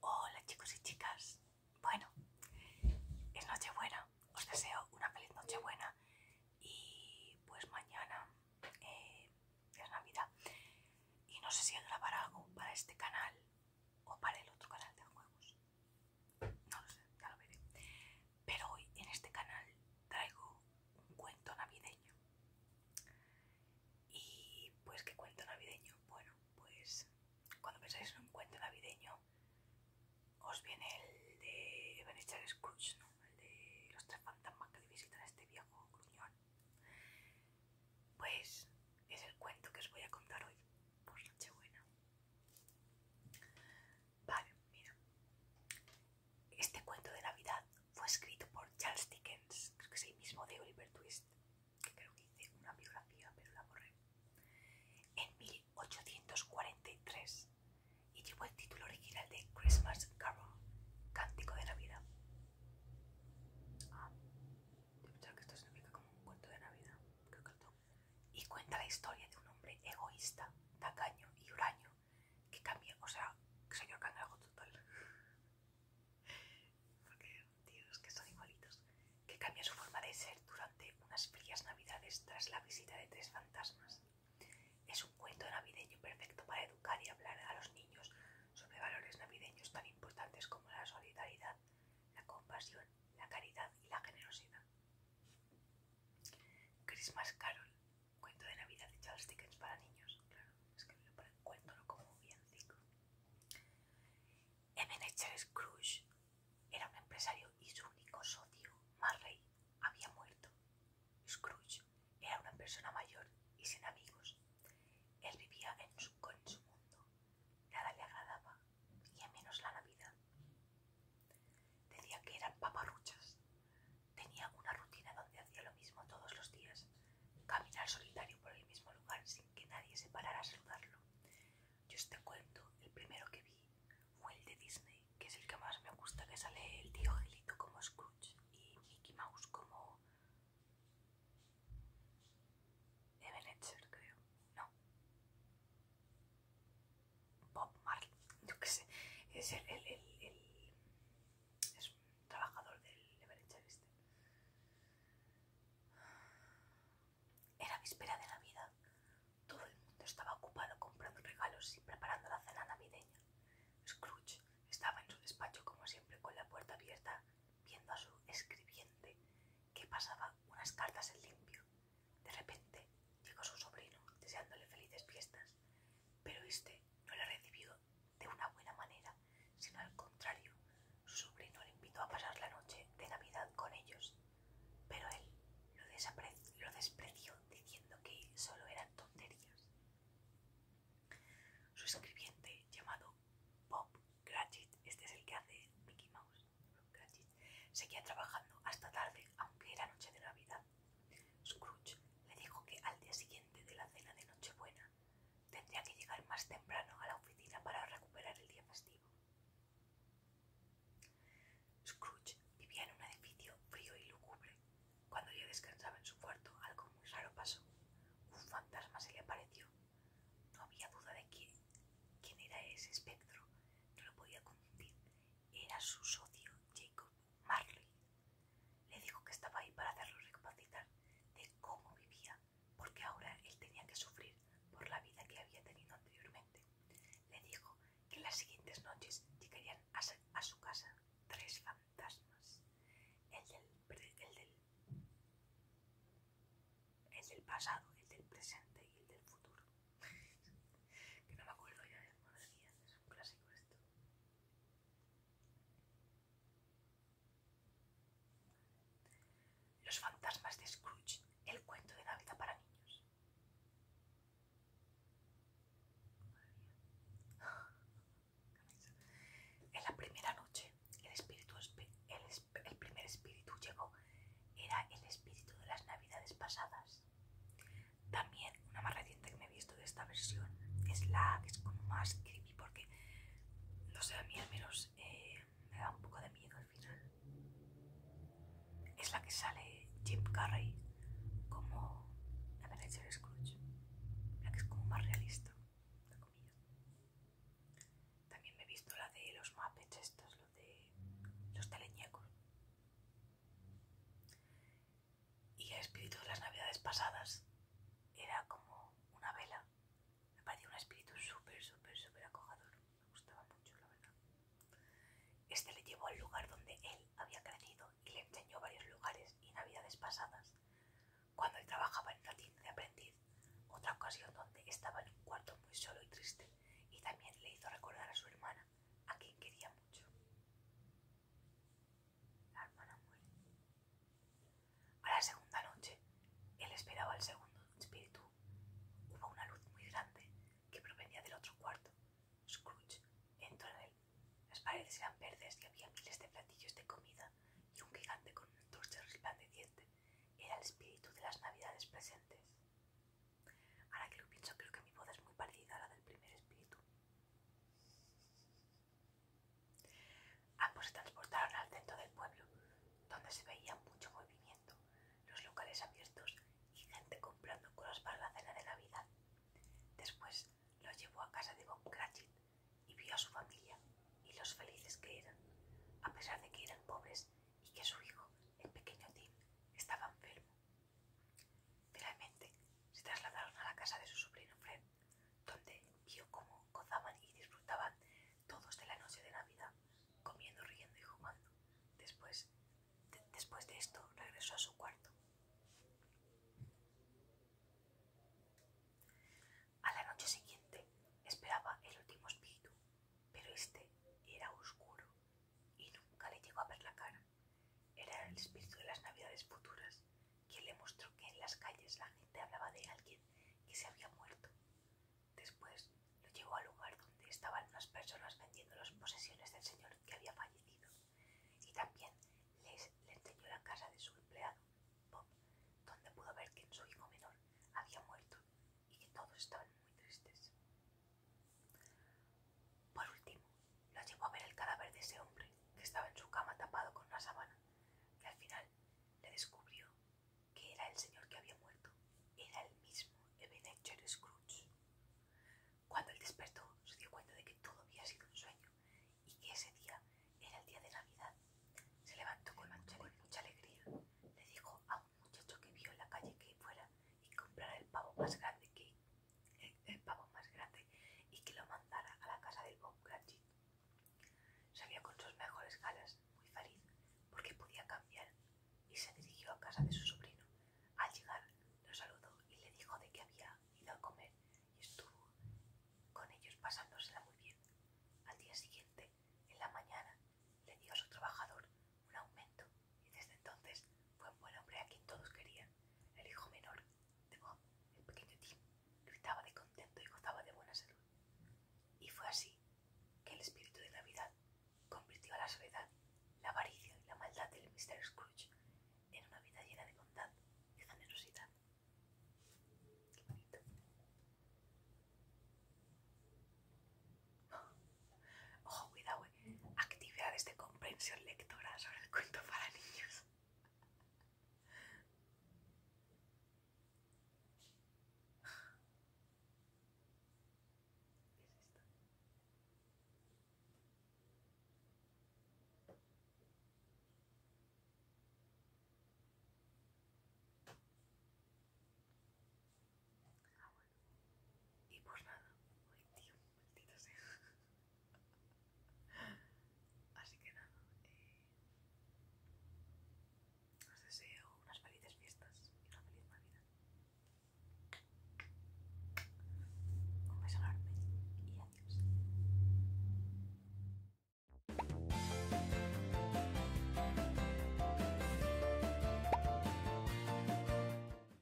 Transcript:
Hola chicos y chicas. Bueno, es Nochebuena. Os deseo una feliz Nochebuena. Y pues mañana eh, es Navidad. Y no sé si grabar algo para este canal o para el otro canal de juegos. No lo sé, ya lo veré. Pero hoy en este canal traigo un cuento navideño. Y pues, ¿qué cuento navideño? Bueno, pues cuando pensáis en un cuento navideño, os viene el de Ebenezer Scrooge, ¿no? El de los tres fantasmas que visitan a este viejo gruñón. Pues es el cuento que os voy a contar hoy por Nochebuena. Vale, mira. Este cuento de Navidad fue escrito por Charles Dickens, creo que es el mismo de Oliver Twist, que creo que hice una biografía, pero la borré, en 1843 y llevó el título original de Christmas Carol, Cántico de Navidad. Ah, yo pensaba que esto significa como un cuento de Navidad, que y cuenta la historia de un hombre egoísta, tacaño y huraño que o total. que son igualitos. Que cambia su forma de ser durante unas frías navidades tras la visita de tres fantasmas. Es un cuento navideño perfecto para educar y hablar a los niños sobre valores navideños tan importantes como la solidaridad, la compasión, la caridad y la generosidad. Christmas Carol, cuento de Navidad de Charles Dickens para niños. Claro, es que lo cuento, no como villancico. Ebenezer Scrooge era un empresario y su único socio, Marley, había muerto. Scrooge era una persona mayor y sin amigos. Él vivía con su, su mundo. Nada le agradaba y a menos la Navidad. Decía que eran paparruchas. Tenía una rutina donde hacía lo mismo todos los días, caminar solitario por el mismo lugar sin que nadie se parara a saludarlo. Yo este cuento, el primero que vi, fue el de Disney, que es el que más me gusta, que sale el tío gilito como Scrooge y Mickey Mouse como... Ebenezer, creo. No. Bob Marley, yo qué sé, es el, un trabajador del Everett este. Era víspera de Navidad. Todo el mundo estaba ocupado comprando regalos y preparando la cena navideña. Scrooge estaba en su despacho como siempre con la puerta abierta, viendo a su escribiente que pasaba unas cartas en limpio. De repente llegó su sobrino deseándole felices fiestas, pero este no le recibió de una buena manera, sino al contrario, su sobrino le invitó a pasar la noche de Navidad con ellos, pero él lo, despreció diciendo que solo eran tonterías. Su escribiente llamado Bob Gratchit, este es el que hace Mickey Mouse, Bob Seguía trabajando hasta tarde, aunque era noche de Navidad. Scrooge le dijo que al día siguiente de la cena de Nochebuena tendría que llegar más temprano a la oficina para recuperar el día festivo. Scrooge vivía en un edificio frío y lúgubre. Cuando ya descansaba en su cuarto, algo muy raro pasó. Un fantasma se le apareció. No había duda de quién, quién era ese espectro. No lo podía confundir era su socio Jacob Marley. Le dijo que estaba ahí para hacerlo recapacitar de cómo vivía, porque ahora él tenía que sufrir por la vida que había tenido anteriormente. Le dijo que las siguientes noches llegarían a su casa tres fantasmas. el del pasado, el del presente y el del futuro. que no me acuerdo ya, de madre es un clásico esto. Los fantasmas de Scrooge, el cuento de Navidad para niños. En la primera noche, el, espíritu, el primer espíritu llegó. Era el espíritu de las Navidades pasadas. También una más reciente que me he visto de esta versión es la que es como más creepy porque, no sé, a mí al menos eh, me da un poco de miedo al final. Es la que sale Jim Carrey como la Ebenezer Scrooge, la que es como más realista, la También me he visto la de los esto estos, lo de los teleñecos. Y el espíritu de las navidades pasadas era como una vela. Me parecía un espíritu súper, súper, súper acogedor. Me gustaba mucho, la verdad. Este le llevó al lugar donde él había crecido y le enseñó varios lugares y navidades pasadas. Cuando él trabajaba en una tienda de aprendiz, otra ocasión donde estaba en un cuarto muy solo y triste, y también le hizo recordar a su hermana a quien quería mucho. La hermana muere. A la segunda noche, él esperaba al segundo espíritu. Hubo una luz muy grande que provenía del otro cuarto. Scrooge entró en él. Las paredes eran verdes y había miles de platillos de comida y un gigante con un torche resplandeciente. Era el espíritu de las navidades presentes. Ahora que lo pienso, creo que mi voz es muy parecida a la del primer espíritu. Ambos se transportaron al centro del pueblo, donde se veía mucho movimiento, los locales abiertos y gente comprando cosas para la cena de Navidad. Después los llevó a casa de Bob Cratchit y vio a su familia y los felices que eran, a pesar de que eran pobres y que su hijo, el pequeño Tim, estaba enfermo. Finalmente, se trasladaron a la casa de su sobrino Fred, donde vio cómo gozaban y disfrutaban todos de la noche de Navidad, comiendo, riendo y jugando. Después después de esto, regresó a su cuarto. A la noche siguiente esperaba el último espíritu, pero este era oscuro y nunca le llegó a ver la cara. Era el espíritu de las navidades futuras quien le mostró que en las calles la gente hablaba de alguien que se había muerto. Después lo llevó al lugar donde estaban unas personas vendiendo las posesiones del señor que había fallecido y también les, le enseñó la casa de su empleado, Bob, donde pudo ver que su hijo menor había muerto y que todos estaban muy tristes. Por último, lo llevó a ver el cadáver de ese hombre que estaba en su cama tapado con una sábana y al final le descubrió que era el señor que había muerto. Era el mismo Ebenezer Scrooge. Cuando él despertó, se dio cuenta de que todo había sido un sueño y que ese día era el día de Navidad. Se levantó con mucha, alegría. Le dijo a un muchacho que vio en la calle que fuera y comprara el pavo más grande que el, pavo más grande y que lo mandara a la casa del Bob Cratchit. Salió con sus mejores galas, muy feliz, porque podía cambiar, y se dirigió a casa de su sobrino. Al llegar, lo saludó y le dijo de que había ido a comer y estuvo con ellos pasándosela muy bien. Al día siguiente, en la mañana, le dio a su trabajador un aumento y desde entonces fue un buen hombre a quien todos querían. El hijo menor de Bob, el pequeño Tim, gritaba de contento y gozaba de buena salud. Y fue así que el espíritu de Navidad convirtió a la soledad, la avaricia y la maldad del Mr. Scrooge en una vida llena de bondad y generosidad. Qué bonito. Ojo, cuidado, eh actividades de comprensión lectora sobre el cuento para niños. Ah, y por pues nada, ay tío, maldito sea. Así que nada, eh, os deseo unas felices fiestas y una feliz Navidad. Un beso enorme y adiós.